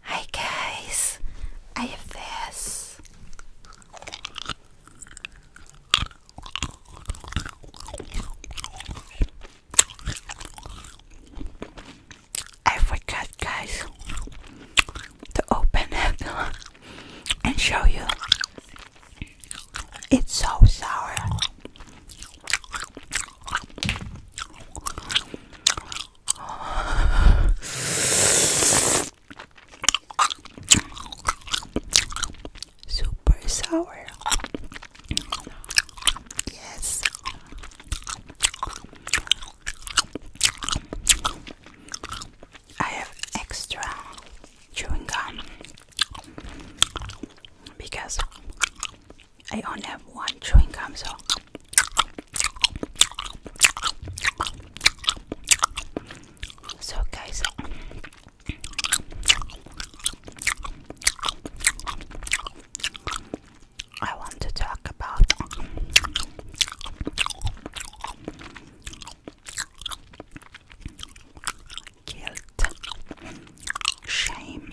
Hi guys, I have this. I forgot, guys, to open it and show you. It's so sour. Super sour. Yes. I have extra chewing gum because I only have one chewing gum, so so guys. I want to talk about guilt, shame,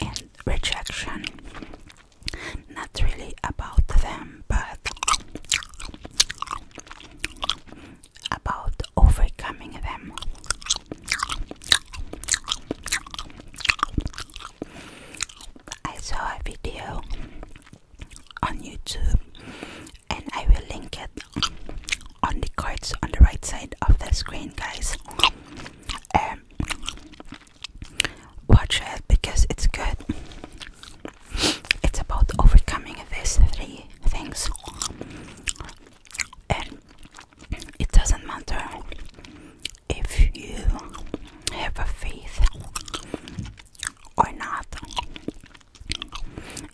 and rejection. Not really about them, but about overcoming them. I saw a video on YouTube and I will link it on the cards on the right side of the screen, guys watch it because it's good. It's about overcoming these three things, and it doesn't matter if you have a faith or not,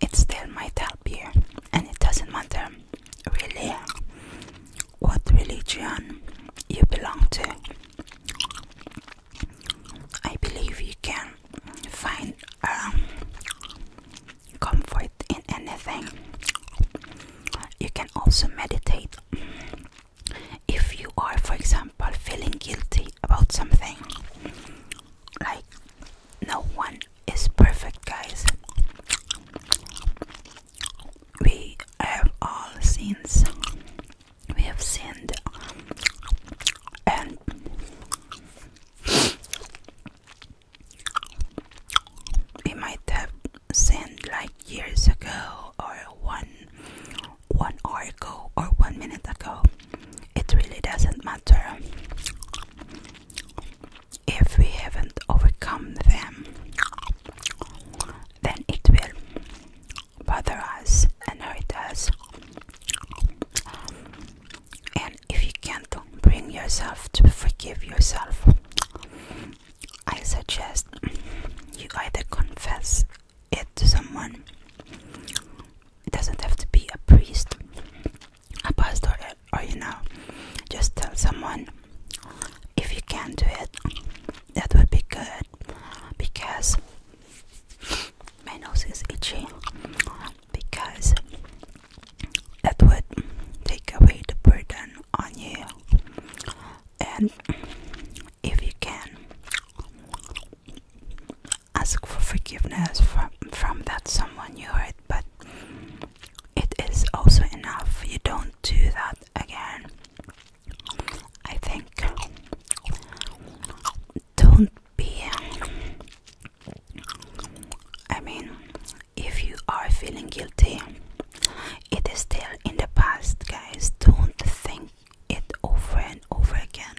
it still might help you, and it doesn't matter really what religion you belong to. I believe you can find um, comfort in anything. You can also meditate. If you are, for example, feeling guilty about something, like no one is perfect, guys we have all sins we have sinned and we might have sinned like years ago or one one hour ago or one minute ago it really doesn't matter if we haven't overcome them, then it will bother us and hurt us. And if you can't bring yourself to forgive yourself, I suggest you either confess it to someone, it doesn't have to be a priest, a pastor, or you know, just tell someone if you can do it, that would be good because my nose is itching. because that would take away the burden on you. And if you can ask for forgiveness from from that someone you hurt, but it is also enough. You don't do that again. I think don't be. I mean, if you are feeling guilty, it is still in the past, guys. Don't think it over and over again.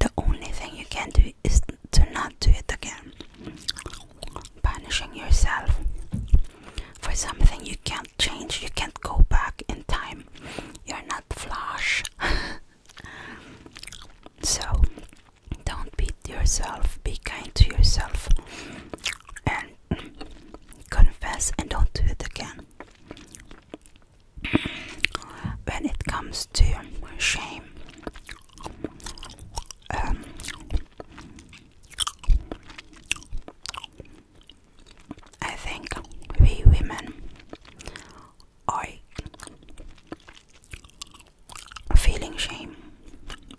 The only thing you can do is to not do it again punishing yourself for something you can't change, you can't go back in time, you're not flash. so, don't beat yourself, be kind to yourself, and confess and don't do it again. When it comes to shame, um, I think we women are feeling shame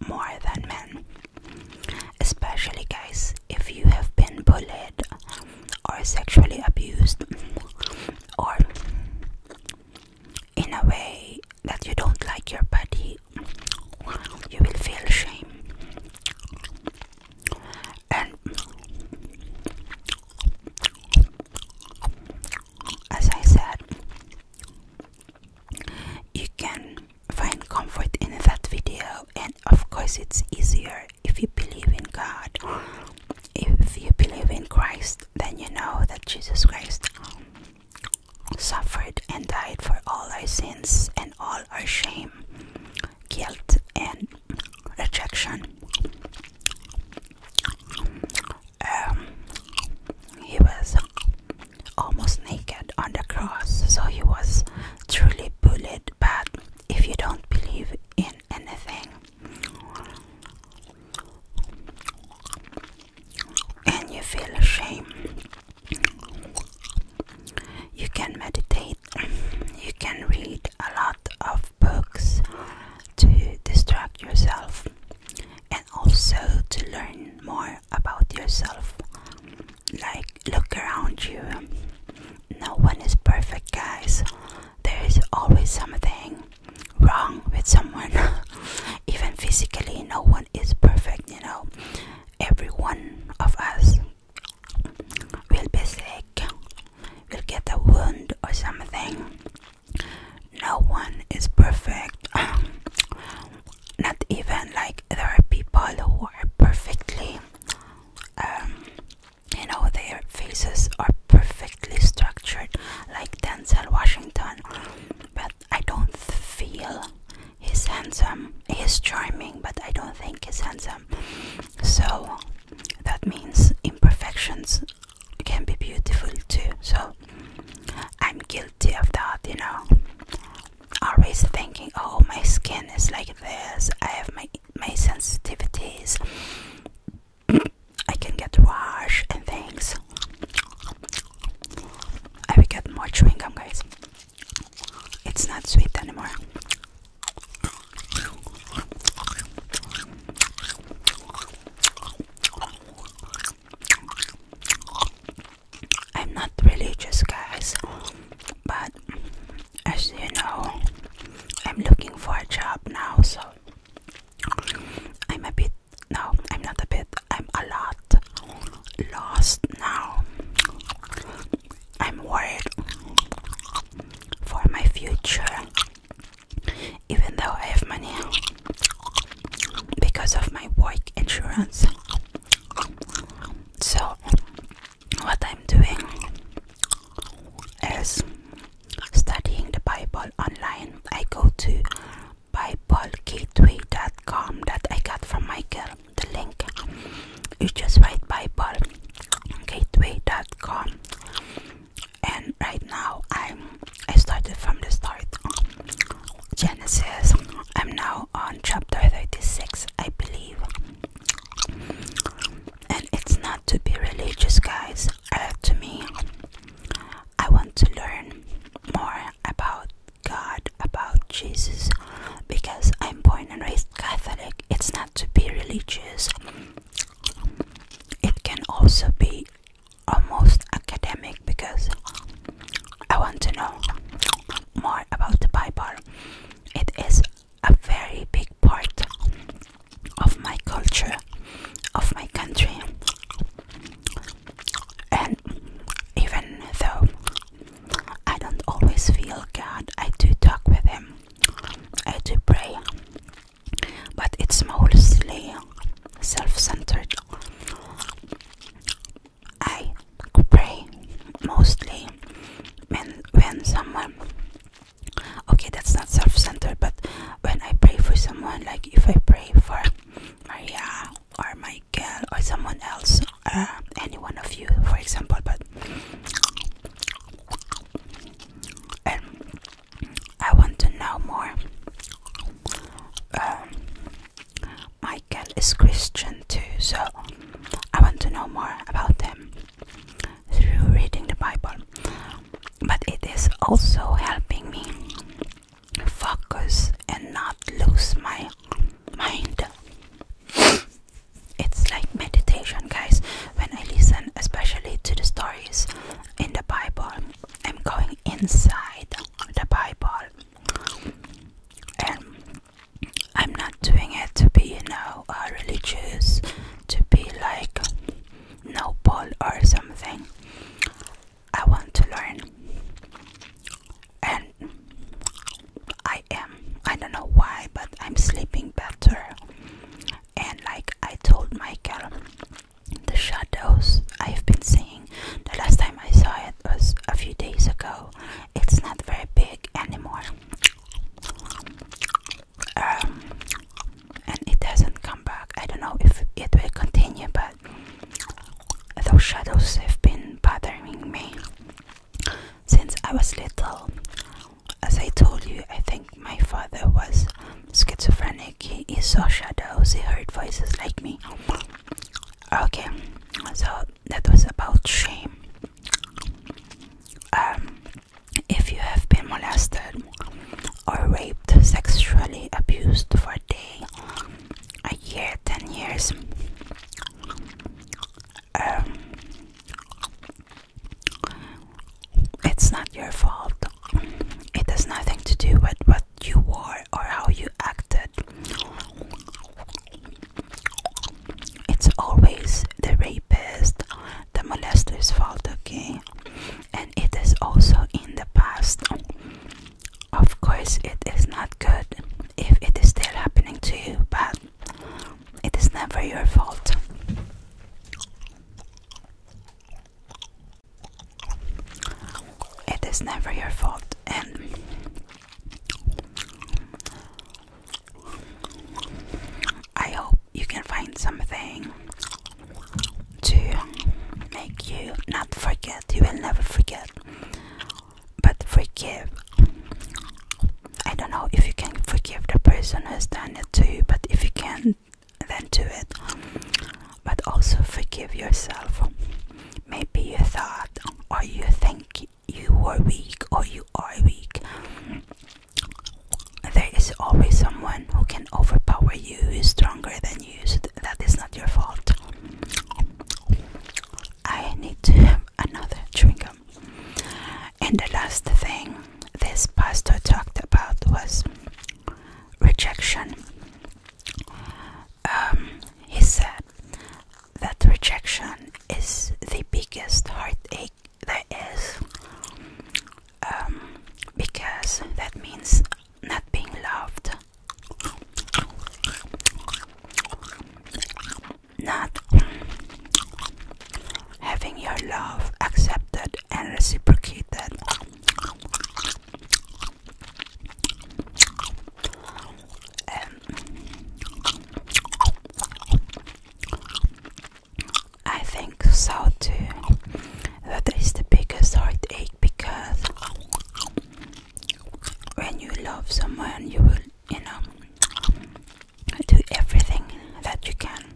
more than men. Especially, guys, if you have been bullied or sexually abused, or in a way that you don't like your body you will feel shame and as I said you can find comfort in that video and of course it's easier if you believe in God if you believe in Christ then you know that Jesus Christ suffered and died for all our sins and all our shame, guilt, and rejection. Um, he was almost naked on the cross, so he was truly bullied. But if you don't believe in anything, and you feel shame you can meditate, you can read a lot of books to distract yourself and also to learn more about yourself. Like, look around you. No one is perfect, guys. There is always something wrong with someone, even physically, no one one is perfect you know every one of us will be sick will get a wound or something no one is perfect not even like there are people who are perfectly um, you know their faces are perfectly structured like denzel washington but I don't feel he's handsome. He's charming, but I don't think he's handsome. So that means imperfections can be beautiful too. So I'm guilty of that, you know. Always thinking, oh, my skin is like this. I have my my sensitivities. I can get rash and things. I will get more chewing gum, guys. It's not sweet anymore. I'm not religious, guys, but as you know, I'm looking for a job now, so I'm a bit no, I'm not a bit, I'm a lot lost now. I'm worried for my future, even though I have money because of my work insurance. So, what I'm doing is studying the Bible online. I go to BibleGateway.com that I got from Michael. The link you just write BibleGateway.com, and right now I'm I started from the start. Genesis. I'm now on chapter 36, I believe. And it's not to be religious, guys. Uh, to me, I want to learn more about God, about Jesus, because I'm born and raised Catholic. It's not to be religious, it can also be almost academic because I want to know more about the Bible. It is a very big part of my culture, of my country, and even though I don't always feel God. I do talk with Him. I do pray. But it's mostly self centered. I pray mostly when, when someone. Okay, that's not self centered, but when I pray for someone, like if I pray for Maria or Michael, or someone else uh, any one of you for example but and I want to know more um, Michael is Christian too so I want to know more about them through reading the Bible but it is also helping me focus and not lose my mind. It's like meditation, guys. When I listen, especially to the stories in the Bible, I'm going inside the Bible, and I'm not doing it to be, you know, uh, religious, to be like noble or something. I want to learn, and I am. I don't know why, but I'm sleeping better. And like I told Michael, the shadows I've been seeing the last time I saw it was a few days ago. It's not very big anymore. Um, and it hasn't come back. I don't know if it will continue, but those shadows have been bothering me since I was little. As I told you, I think my father was schizophrenic. He, he saw shadows, he heard voices like me. Okay, so that was about shame. Um, if you have been molested or raped, sexually abused for a day, a year, ten years, um, it's not your fault. It has nothing to do with what you wore or how you acted. It's always the rapist, the molester's fault, okay? And it is also in the past of course, it is not good if it is still happening to you, but it is never your fault. It is never your fault, and I hope you can find something to make you not forget. You will never forget but forgive. I don't know if you can forgive the person who has done it to you, but if you can, then do it. But also forgive yourself. Maybe you thought, or you think you were weak, or you are weak. There is always someone who can overpower you, is stronger than you, so that is not your fault. I need to have another chewing And the last thing this pastor talked about was rejection. Um, he said that rejection is the biggest heartache there is um, because that means not being loved, not having your love accepted and reciprocated. And I think so too. That is the biggest heartache because when you love someone, you will, you know, do everything that you can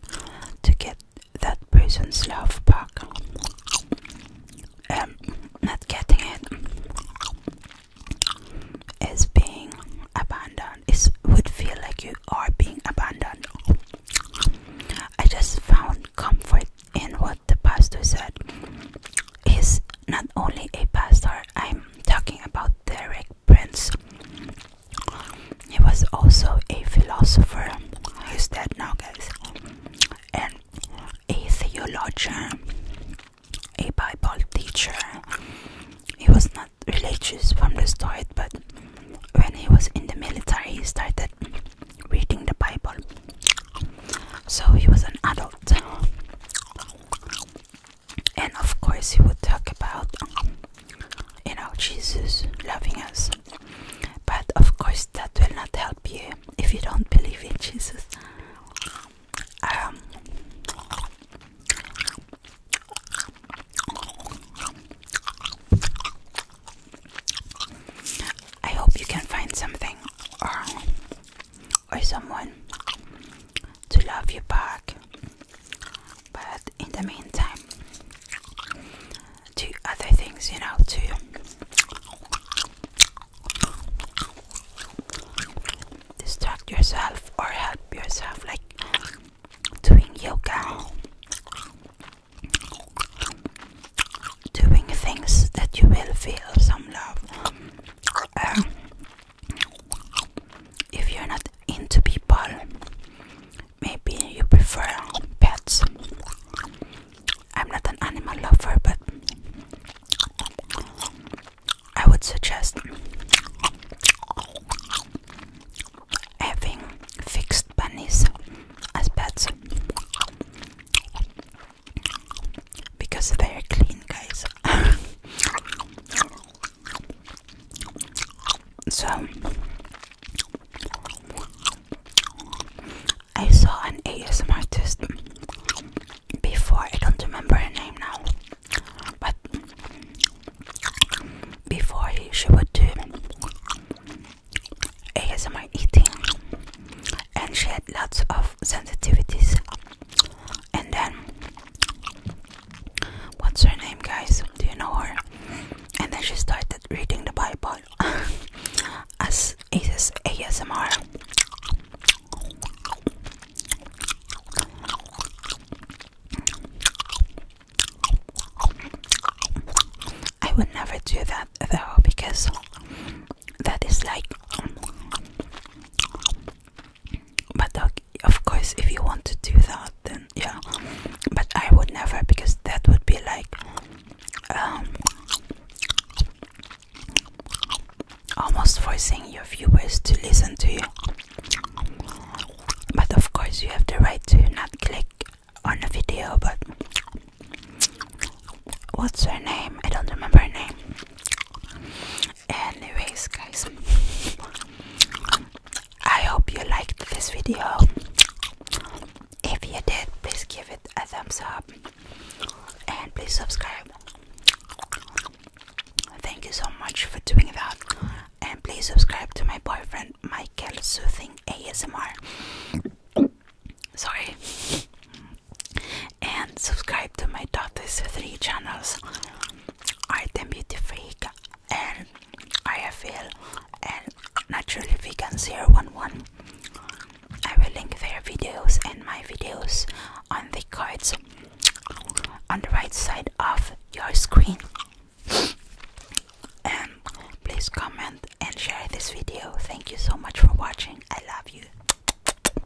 to get that person's love back. And um, not getting it is being abandoned. It would feel like you are being abandoned. I just found comfort in what the pastor said is not only a pastor, I'm talking about Derek Prince. He was also a philosopher, he's dead now, guys, and a theologian, a Bible teacher. He was not religious from the start, but when he was in the military, he started reading the Bible. So he was an adult and of course he would talk about you know jesus loving us but of course that will not help you if you don't believe in jesus um, I hope you can find something uh, or someone to love you back. But in the meantime, do other things, you know, to Distract yourself or help yourself, like doing yoga, doing things that you will feel some love. Um, if you're not into people, maybe you prefer pets. I'm not an animal lover, but I would suggest having fixed bunnies as pets because they're clean, guys. so I saw an ASM artist before, I don't remember her name now, but before she would do ASMR eating, and she had lots of sensitivities and then, what's her name, guys? Do you know her? And then she started reading the Bible as is ASMR. I would never do that though because that is like but of course, if you want to do that, then yeah. But I would never because that would be like um, almost forcing your viewers to listen to you. But of course, you have the right to not click on a video. But what's her name? I don't remember her name anyways guys i hope you liked this video if you did please give it a thumbs up and please subscribe thank you so much for doing that and please subscribe to my boyfriend michael soothing asmr sorry and subscribe to my daughter's three channels Art and Beauty Freak and IFL and Naturally Vegan Zero One One. I will link their videos and my videos on the cards on the right side of your screen. And please comment and share this video. Thank you so much for watching. I love you.